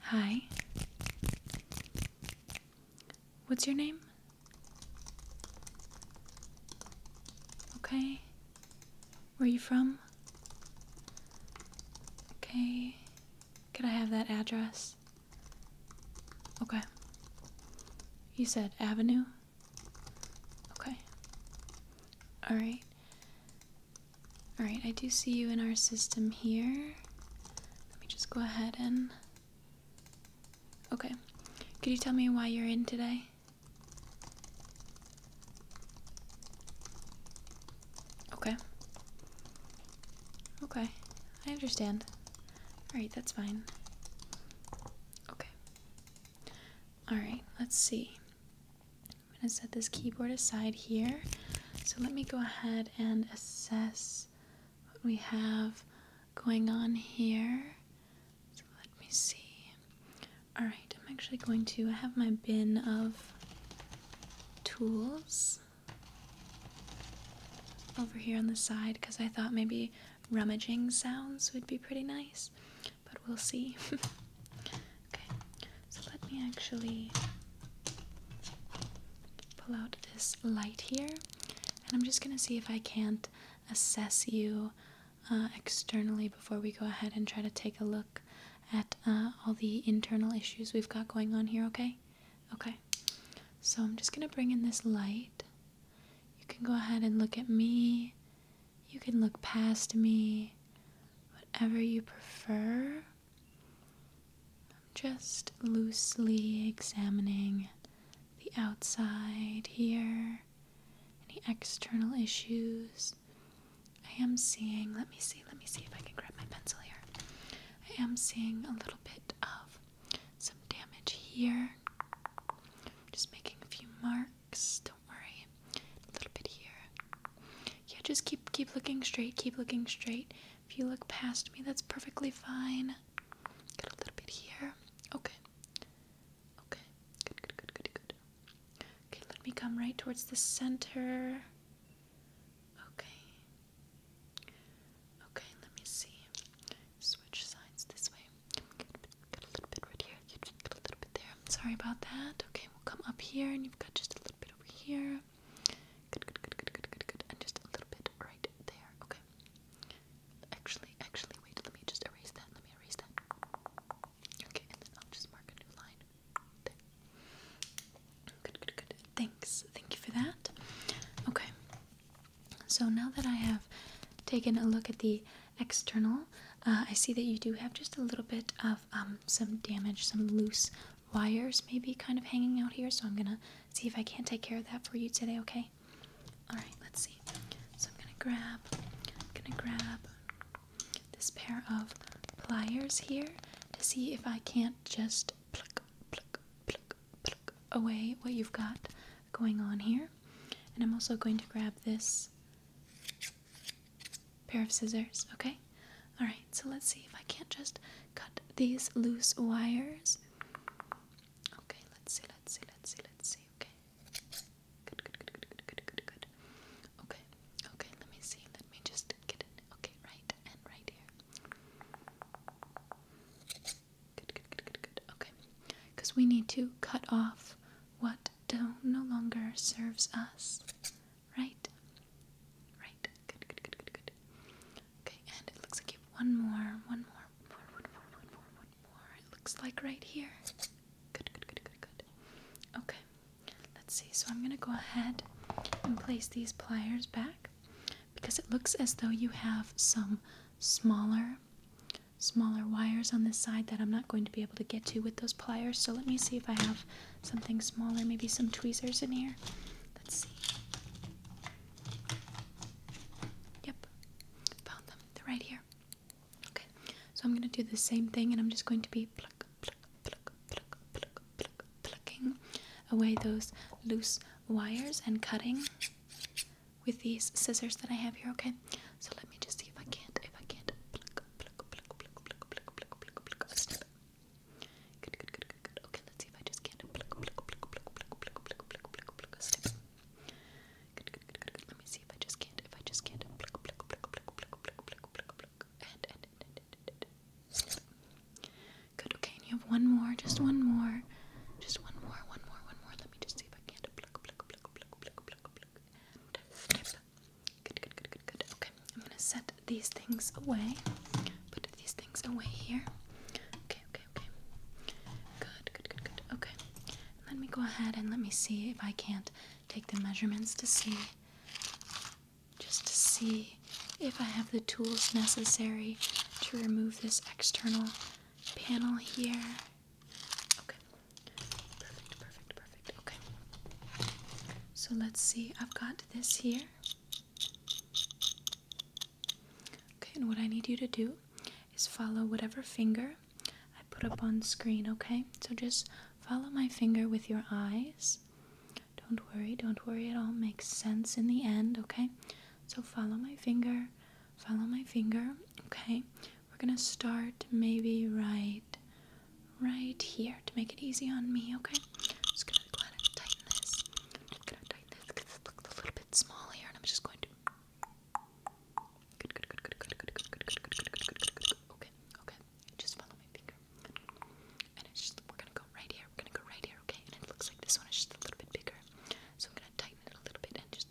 Hi. What's your name? Okay. Where are you from? Okay. Can I have that address? Okay. You said Avenue? Okay. Alright. Alright, I do see you in our system here. Let me just go ahead and. Okay. Could you tell me why you're in today? Okay. Okay. I understand. Alright, that's fine. Okay. Alright, let's see. I'm going to set this keyboard aside here. So let me go ahead and assess what we have going on here. So let me see. Alright, I'm actually going to I have my bin of tools over here on the side because I thought maybe rummaging sounds would be pretty nice but we'll see. okay, so let me actually pull out this light here, and I'm just gonna see if I can't assess you uh, externally before we go ahead and try to take a look at uh, all the internal issues we've got going on here, okay? Okay, so I'm just gonna bring in this light. You can go ahead and look at me you can look past me, whatever you prefer. I'm just loosely examining the outside here, any external issues. I am seeing, let me see, let me see if I can grab my pencil here. I am seeing a little bit of some damage here. Just making a few marks. Don't worry. A little bit here. Yeah, just keep keep looking straight. Keep looking straight. If you look past me, that's perfectly fine. Get a little bit here. Okay. Okay. Good. Good. Good. Good. Good. Okay. Let me come right towards the center. Okay. Okay. Let me see. Switch sides this way. Got a little bit right here. You a little bit there. Sorry about that. Okay, we'll come up here, and you've got just a little bit over here. Good, good, good, good, good, good, good, and just a little bit right there. Okay. Actually, actually, wait. Let me just erase that. Let me erase that. Okay, and then I'll just mark a new line. There. Good, good, good. Thanks. Thank you for that. Okay. So now that I have taken a look at the external. Uh, I see that you do have just a little bit of um, some damage, some loose wires maybe kind of hanging out here, so I'm gonna see if I can't take care of that for you today, okay? Alright, let's see. So I'm gonna grab, i gonna grab this pair of pliers here to see if I can't just pluck, pluck, pluck, pluck away what you've got going on here. And I'm also going to grab this pair of scissors, okay? Alright, so let's see if I can't just cut these loose wires. Okay, let's see, let's see, let's see, let's see, okay. Good, good, good, good, good, good, good, good. Okay, okay, let me see, let me just get it. Okay, right and right here. Good, good, good, good, good. Okay, because we need to cut off what don't no longer serves us. Right? Right. Good, good, good, good, good. Okay, and it looks like you have one more, one more, one more, one more, one more, one more. It looks like right here. Good, good, good, good, good. Okay, let's see. So I'm gonna go ahead and place these pliers back because it looks as though you have some smaller smaller wires on this side that I'm not going to be able to get to with those pliers. So let me see if I have something smaller, maybe some tweezers in here. Let's see. Yep, found them. They're right here. Okay, so I'm going to do the same thing and I'm just going to be pluck, pluck, pluck, pluck, pluck, pluck, plucking away those loose wires and cutting with these scissors that I have here, okay? So let me just see if I can't, if I can't Okay, let's see if I just can't Let me see if I just can't, if I just can't Good, okay, you have one more, just one more. Just one more, one more, one more. Let me just see if I can't Good, good, good, good, good. Okay, I'm gonna set these things away. Put these things away here. Okay, okay, okay. Good, good, good, good. Okay. Let me go ahead and let me see if I can't take the measurements to see just to see if I have the tools necessary to remove this external panel here. Okay. Perfect, perfect, perfect. Okay. So let's see. I've got this here. Okay, and what I need you to do is follow whatever finger I put up on screen, okay? So just follow my finger with your eyes. Don't worry, don't worry, it all makes sense in the end, okay? So follow my finger, follow my finger, okay? We're gonna start maybe right right here to make it easy on me, okay? I'm just gonna go ahead and tighten this. I'm just gonna tighten this because it looks a little bit small and I'm just going to good, good, good, good, good, good, good, good, good, good, good, good, good. Okay, okay. Just follow my finger. And it's just we're gonna go right here, we're gonna go right here, okay? And it looks like this one is just a little bit bigger. So I'm gonna tighten it a little bit and just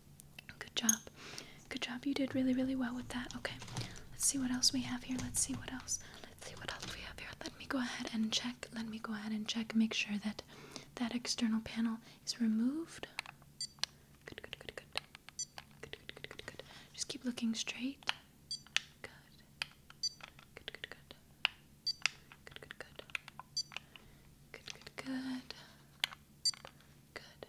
Good job. Good job. You did really, really well with that. Okay. Let's see what else we have here. Let's see what else. Let's see what else we have here. Let me go ahead and check. Let me go ahead and check. Make sure that that external panel is removed. Good, good, good, good. Good, good, good, good, good. Just keep looking straight. Good. Good, good, good. Good, good, good. Good, good, good. Good.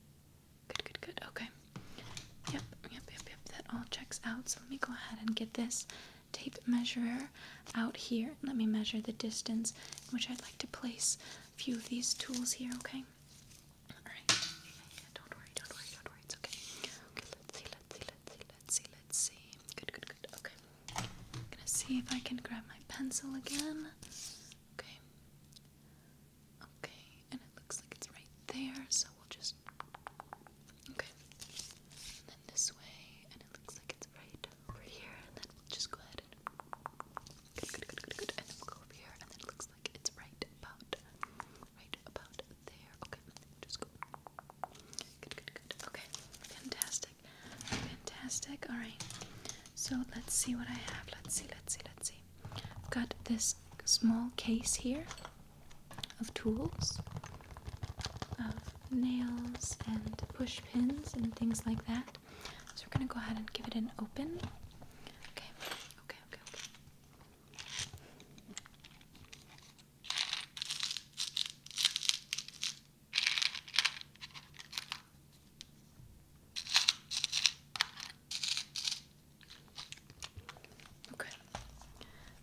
Good, good, good. Okay. Yep, yep, yep, yep. That all checks out. So let me go ahead and get this tape measurer out here. Let me measure the distance in which I'd like to place a few of these tools here, okay? Alright. don't worry, don't worry, don't worry. It's okay. Okay, let's see, let's see, let's see, let's see, let's see. Good, good, good. Okay. I'm gonna see if I can grab my pencil again. Okay. Okay, and it looks like it's right there, so we'll just. Okay. And then this way, and it looks like it's right over here, and then just go ahead and. Good, good, good, good, good. And then we'll go over here, and it looks like it's right about. Right about there. Okay, just go. Good, good, good. Okay, fantastic. Fantastic. Alright. So let's see what I have. Let's see, let's see, let's see. I've got this small case here of tools, of nails and push pins and things like that. So we're gonna go ahead and give it an open. okay, okay, okay. Okay,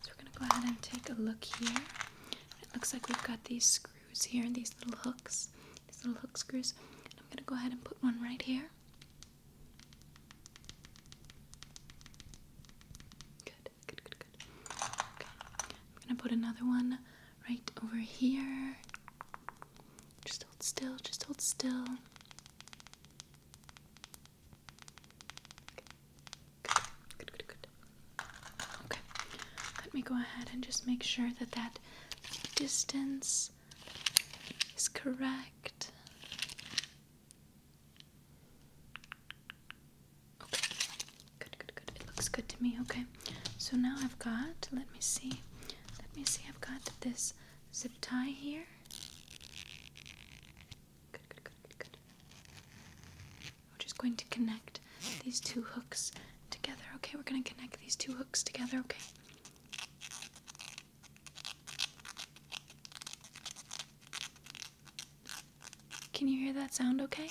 so we're going to go ahead and take a look here. It looks like we've got these screws here, and these little hooks, these little hook screws. I'm going to go ahead and put one right here. Good, good, good, good. Okay, I'm going to put another one right over here. Just hold still, just hold still. Good, good, good, good. Okay, let me go ahead and just make sure that that distance is correct. Okay, good, good, good. It looks good to me. Okay, so now I've got, let me see, let me see, I've got this zip tie here. Good, good, good, good, good. We're just going to connect these two hooks together, okay? We're going to connect these two hooks together, okay? Can you hear that sound okay?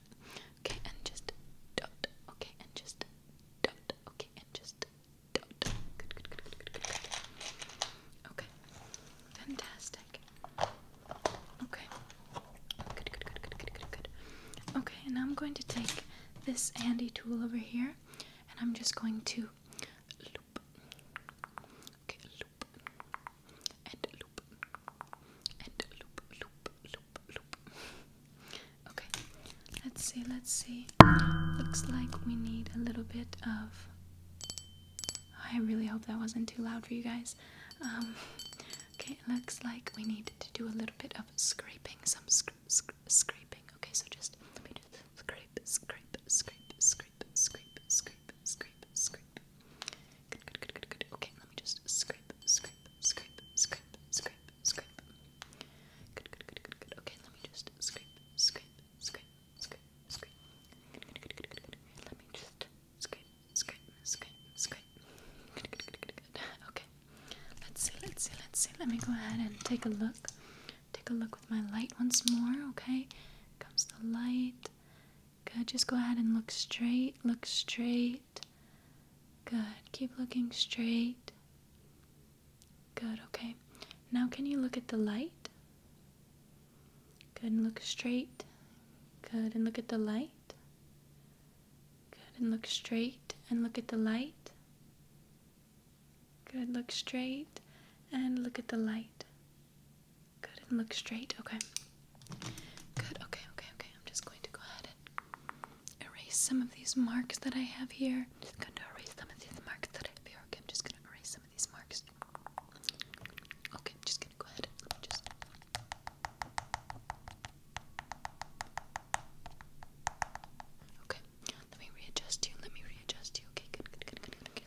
Okay, and just dot. Okay, and just dot. Okay, and just dot. Good, good, good, good, good, good. Okay, fantastic. Okay, good, good, good, good, good, good, good. Okay, and I'm going to take this handy tool over here, and I'm just going to loop. Okay, loop and loop and loop, loop, loop, bloop, bloop. Okay, let's see, let's see. Looks like we need a little bit of. I really hope that wasn't too loud for you guys. Um, okay, looks like we need to do a little bit of scraping, some sc sc scraping. Okay, so just let me just scrape, scrape, scrape, scrape, scrape, scrape, scrape, scrape. Good, good, good, good, good. Okay, let me just scrape, scrape, scrape, scrape, scrape, scrape. Good, good, good, good, good. Okay, let me just scrape, scrape, scrape, scrape, scrape. Good, good, good, good, good, Let me just scrape, scrape, scrape, scrape. Good, good, good, good, good. Okay. Let's see, let's see, let's see. Let me go ahead and take a look. Take a look with my light once more, okay? Comes the light. Good, just go ahead and look straight, look straight. Good. Keep looking straight. Good. Okay. Now, can you look at the light? Good. And look straight. Good. And look at the light. Good. And look straight. And look at the light. Good. Look straight. And look at the light. Good. And look straight. Okay. Good. Okay. Okay. Okay. I'm just going to go ahead and erase some of these marks that I have here. I'm just going to erase some of these marks that I have here. Okay, I'm just going to erase some of these marks. Okay, I'm just going to go ahead just. Okay, let me readjust you. Let me readjust you. Okay, good, good, good, good, good.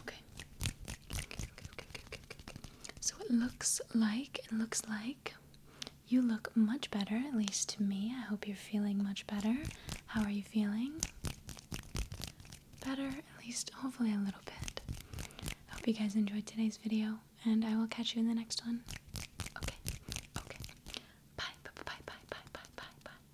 Okay. So it looks like it looks like you look much better, at least to me. I hope you're feeling much better. How are you feeling? Better, at least hopefully a little bit. I hope you guys enjoyed today's video, and I will catch you in the next one. Okay, okay. bye, bye, bye, bye, bye, bye, bye.